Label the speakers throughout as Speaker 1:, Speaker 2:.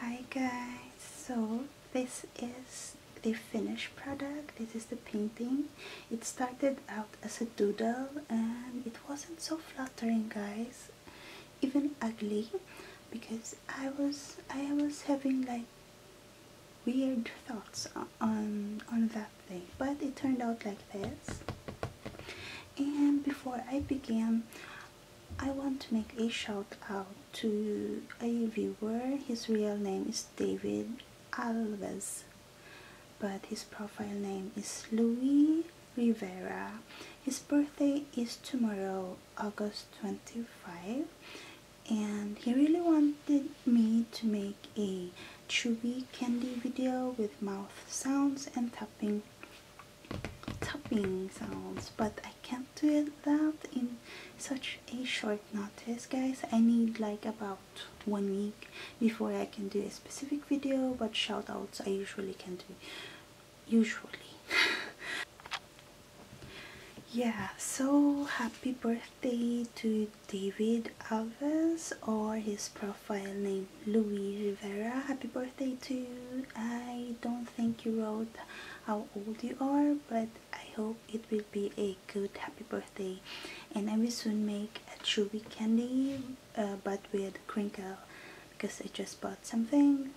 Speaker 1: Hi guys, so this is the finished product, this is the painting. It started out as a doodle and it wasn't so flattering guys, even ugly, because I was, I was having like weird thoughts on, on that thing, but it turned out like this. And before I began, I want to make a shout out to a viewer. His real name is David Alves, but his profile name is Louis Rivera. His birthday is tomorrow, August 25, and he really wanted me to make a chewy candy video with mouth sounds and tapping Topping sounds but I can't do that in such a short notice guys I need like about one week before I can do a specific video but shout outs I usually can do usually yeah so happy birthday to David Alves or his profile name Louis Rivera happy birthday to I don't I think you wrote how old you are but I hope it will be a good happy birthday and I will soon make a chewy candy uh, but with crinkle because I just bought something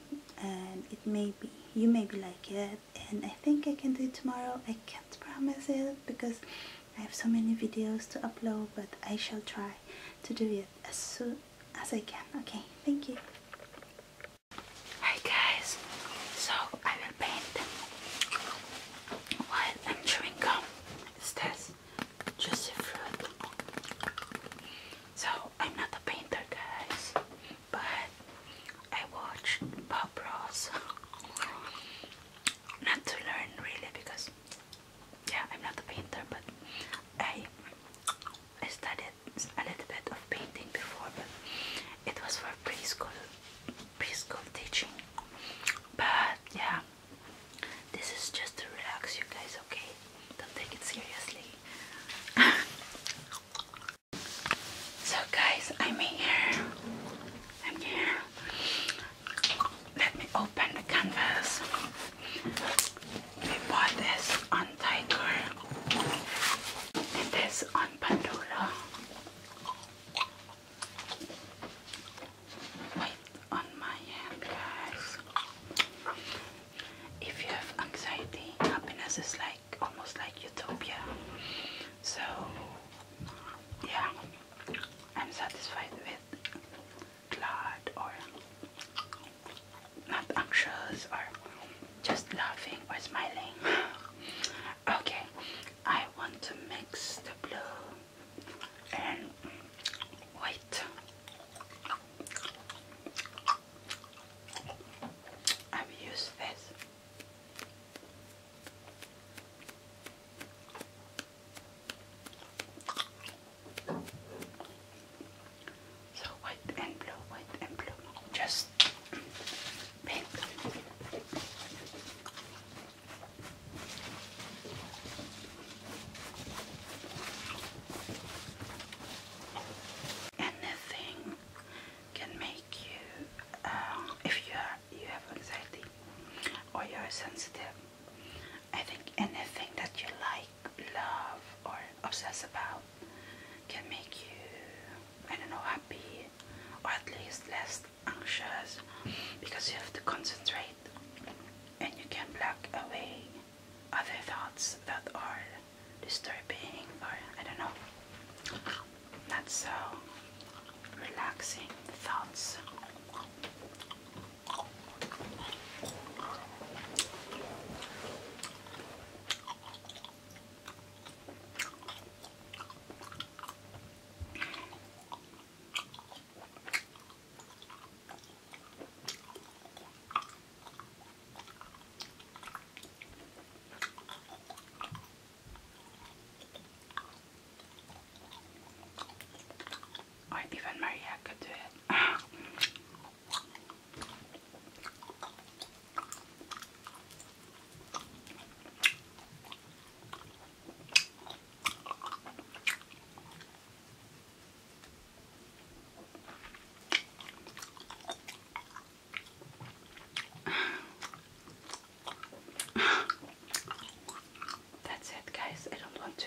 Speaker 1: and it may be you may be like it and I think I can do it tomorrow I can't promise it because I have so many videos to upload but I shall try to do it as soon as I can okay thank you Hi guys,
Speaker 2: so I will paint while I'm chewing gum. It's this juicy fruit. So I'm not a painter guys, but I watched Bob Ross. not to learn really because yeah, I'm not a painter, but I I study a little bit of painting before, but it was for preschool preschool teaching. But yeah, this is just to relax you guys, okay? Don't take it seriously. so guys, I'm here. I'm here. Let me open the canvas. We bought this on Tiger and this on Pandora. Wait on my hand, guys. If you have anxiety, happiness is like almost like utopia. So, yeah, I'm satisfied with Claude or not anxious or just laughing or smiling. okay, I want to mix the blue and white. I've used this. So white and blue, white and blue, just pink. Anything can make you, um, if you you have anxiety or you are sensitive. I think anything that you like love or obsess about can make you, I don't know, happy or at least less anxious because you have to concentrate and you can block away other thoughts that are disturbing or I don't know, not so relaxing thoughts. Or even Maria could do it. That's it, guys. I don't want to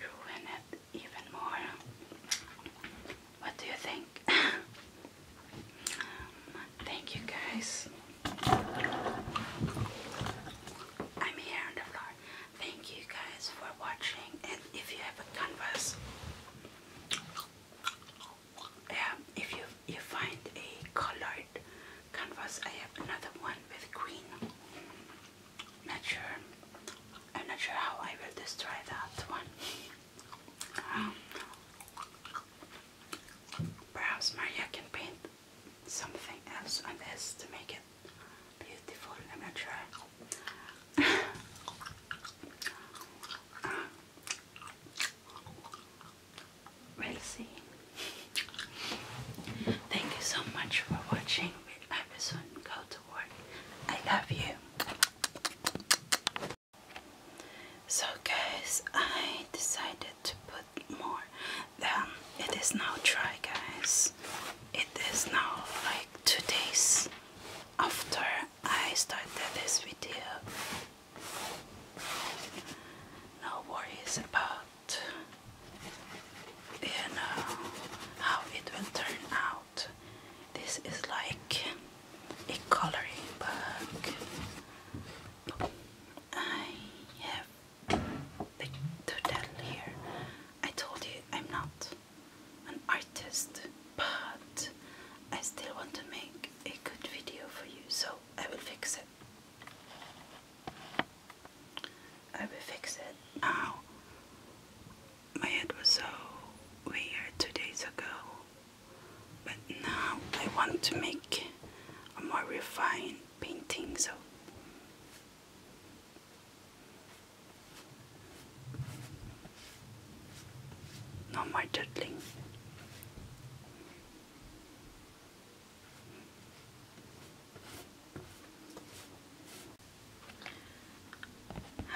Speaker 2: ruin it even more. What do you think? Um, thank you guys. I'm here on the floor. Thank you guys for watching. And if you have a canvas, yeah, if you you find a colored canvas, I have another one with green. I'm not sure. I'm not sure how I will destroy that one. Um, perhaps Maria can paint something else on this to make it beautiful. I'm not sure. we'll see. Thank you so much for watching. we episode. Go to I love you. So guys, I decided to put more than it is now dry guys. It is now like two days after I started this video. No worries about you know how it will turn out. This is like a coloring book. I have the turtle here. I told you I'm not an artist, but I still want to make a good video for you, so I will fix it. I will fix it now my head was so weird two days ago, but now I want to make a more refined painting, so no more doodling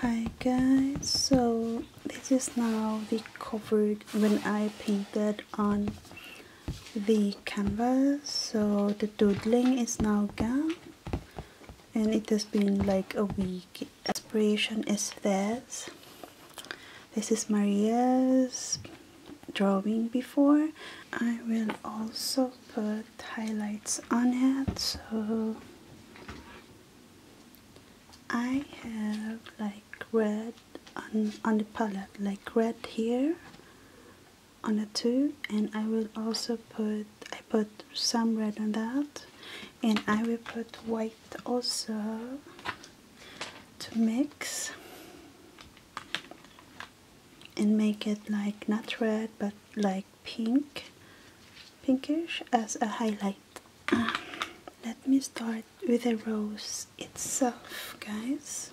Speaker 1: hi guys so this is now the cover when I painted on the canvas so the doodling is now gone and it has been like a week Inspiration is this this is Maria's drawing before I will also put highlights on it so I have like red on, on the palette, like red here on the two and I will also put, I put some red on that and I will put white also to mix and make it like not red but like pink pinkish as a highlight ah, let me start with the rose itself guys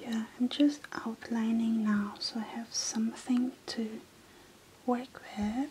Speaker 1: Yeah, I'm just outlining now so I have something to work with.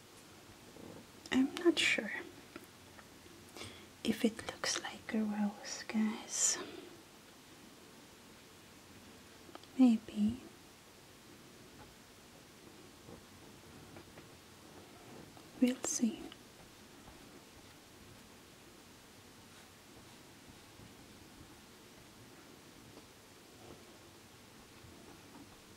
Speaker 1: I'm not sure if it looks like a rose, guys. Maybe. We'll see.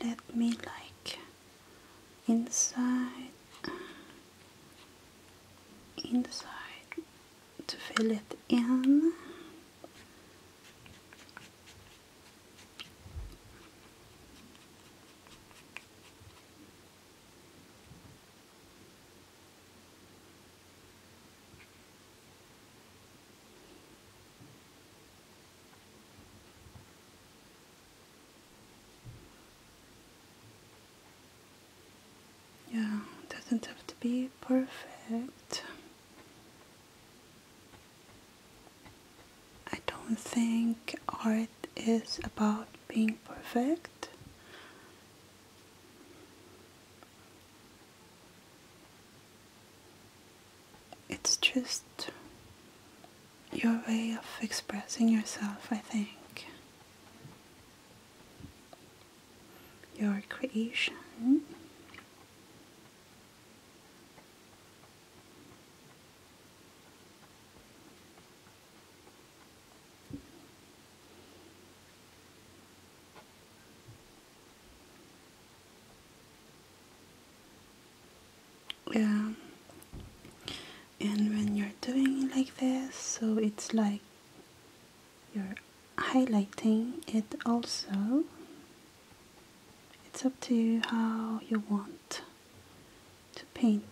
Speaker 1: Let me like inside, inside to fill it in. Yeah, doesn't have to be perfect. I don't think art is about being perfect. It's just your way of expressing yourself, I think. Your creation yeah and when you're doing it like this so it's like you're highlighting it also it's up to you how you want to paint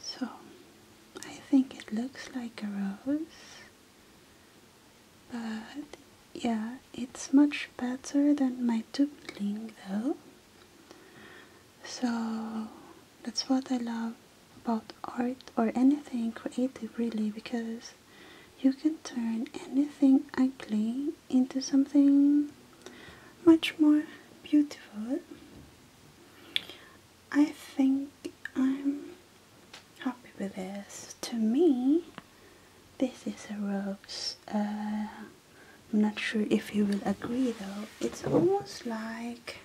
Speaker 1: So I think it looks like a rose, but yeah, it's much better than my dumpling though. So that's what I love about art or anything creative really because you can turn anything ugly into something much more beautiful I think I'm happy with this. To me, this is a rose. Uh, I'm not sure if you will agree though. It's almost like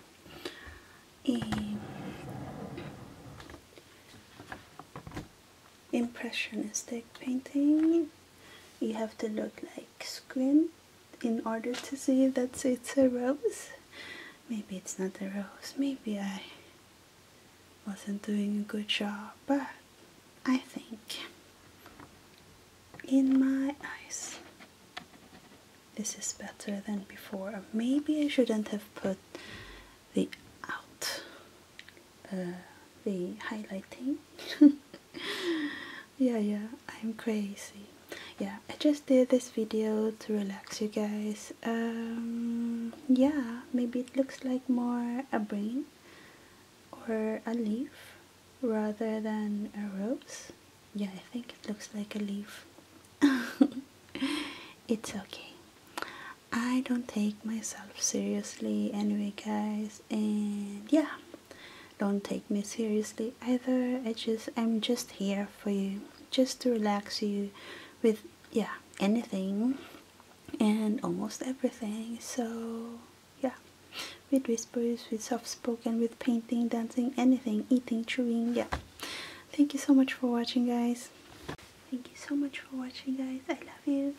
Speaker 1: a impressionistic painting. You have to look like squint in order to see that it's a rose. Maybe it's not a rose, maybe I wasn't doing a good job, but I think in my eyes this is better than before. Maybe I shouldn't have put the out, uh, the highlighting. yeah yeah i'm crazy yeah i just did this video to relax you guys um yeah maybe it looks like more a brain or a leaf rather than a rose yeah i think it looks like a leaf it's okay i don't take myself seriously anyway guys and yeah don't take me seriously either. I just I'm just here for you, just to relax you with yeah, anything and almost everything. So yeah. With whispers, with soft spoken, with painting, dancing, anything, eating, chewing, yeah. Thank you so much for watching guys. Thank you so much for watching guys. I love you.